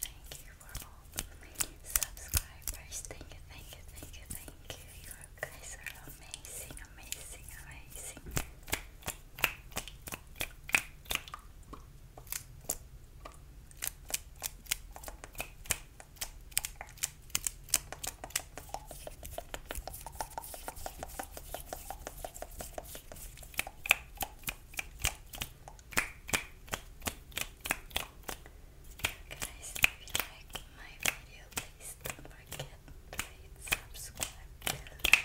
Thank you for all subscribers. Thank you, thank you, thank you, thank you. You guys are amazing, amazing, amazing guys, if you like my video, please don't forget to hit subscribe below.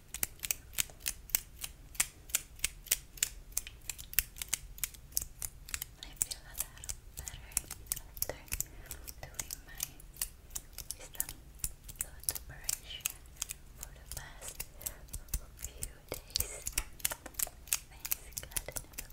I feel a little better after doing my wisdom tooth operation for the past few days. Thanks God, I never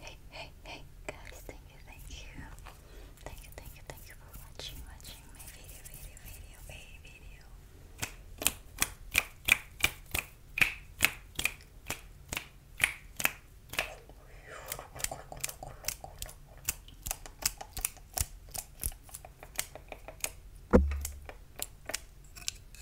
Hey, hey, hey, guys, thank you, thank you. Thank you, thank you, thank you for watching, watching my video, video, video, video.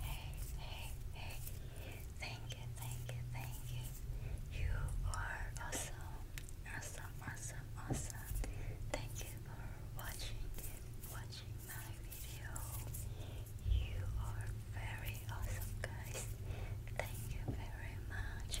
Hey, hey, hey. Thank you, thank you, thank you. You are awesome. Awesome, awesome, awesome. Thank you for watching watching my video. You are very awesome guys. Thank you very much.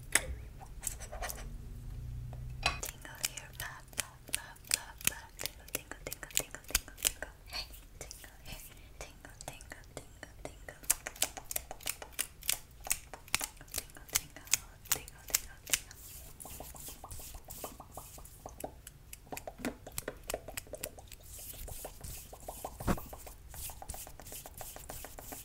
Tingle here, pop, pop, pop, pop, pop. Tingle, tingle, tingle, tingle, tingle, tingle. Hey, tingle here, tingle, tingle, tingle, tingle. Tingle, tingle, tingle, tingle, tingle. Tingle,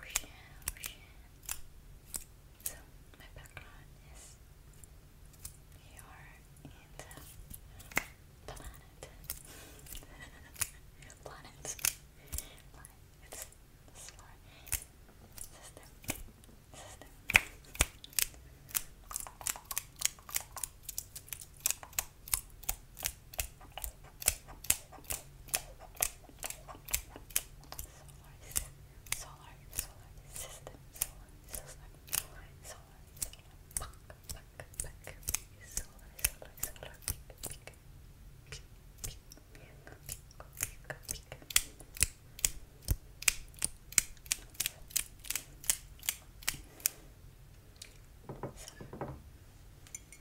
Ocean, ocean. So my background is we are in the planet. planet. Planet. It's solar system. System solar, solar system, solar system, solar, solar, solar, puck, puck, puck, solar, solar, solar, pick, pick, pick, pick, pick, pick, pick. Some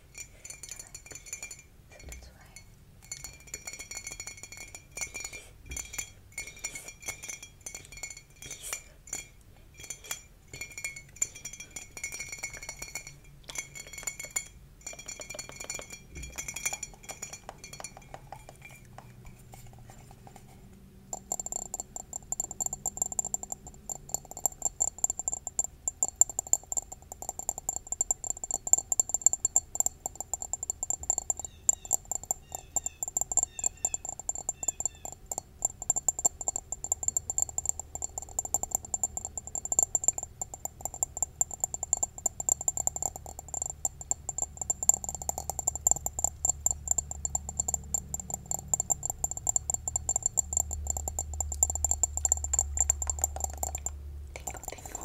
so that's why Okay. Tingle, tingle,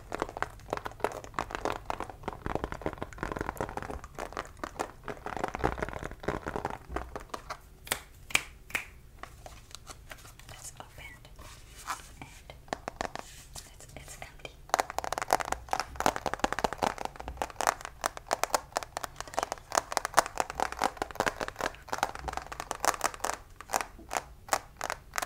It's opened and it's, it's empty.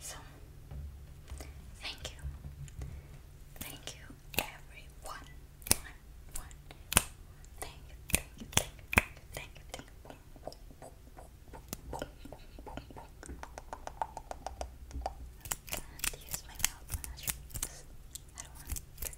So, thank you. Thank you, everyone. One, one. Thank you, thank you, thank you, thank you, thank you. I can't use my mouth when I do this. I don't want to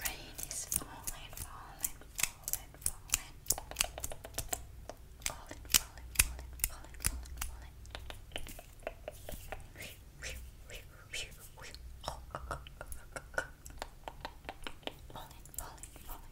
Rain is falling, falling, falling, falling. Falling, falling, falling, falling, falling, falling. Falling, falling, falling.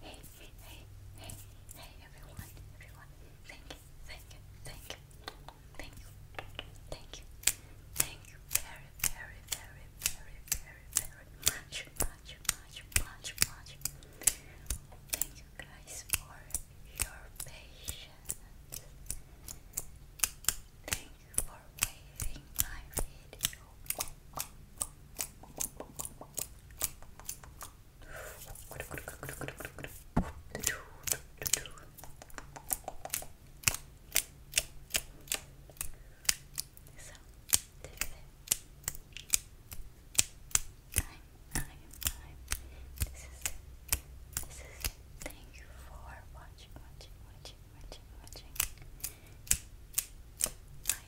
hey, hey, hey, hey, everyone, everyone. Thank you, thank you, thank you, thank you, thank you, thank you very, very, very, very, very, very much, much, much, much, much. Thank you guys for your patience. Thank you for waiting my video time, time, time. This is it. This is it. Thank you for watching, watching, watching, watching, watching. I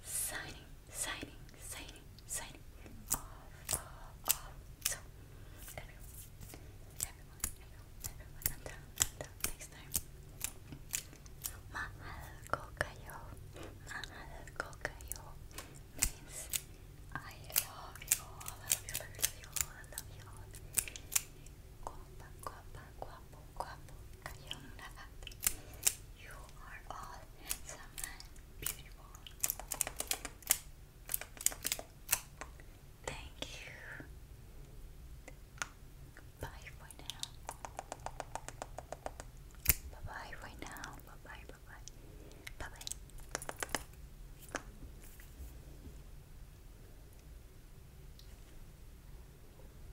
signing, signing, signing, signing off, off, off. So, everyone, everyone, everyone, everyone, next time. Mahal ko mahal ko means I love you all, I love you, love you all, I love you all. Guapa, guapa, you are all someone beautiful. Thank you. Bye for now. Bye bye for now. Bye bye, bye bye. Bye bye.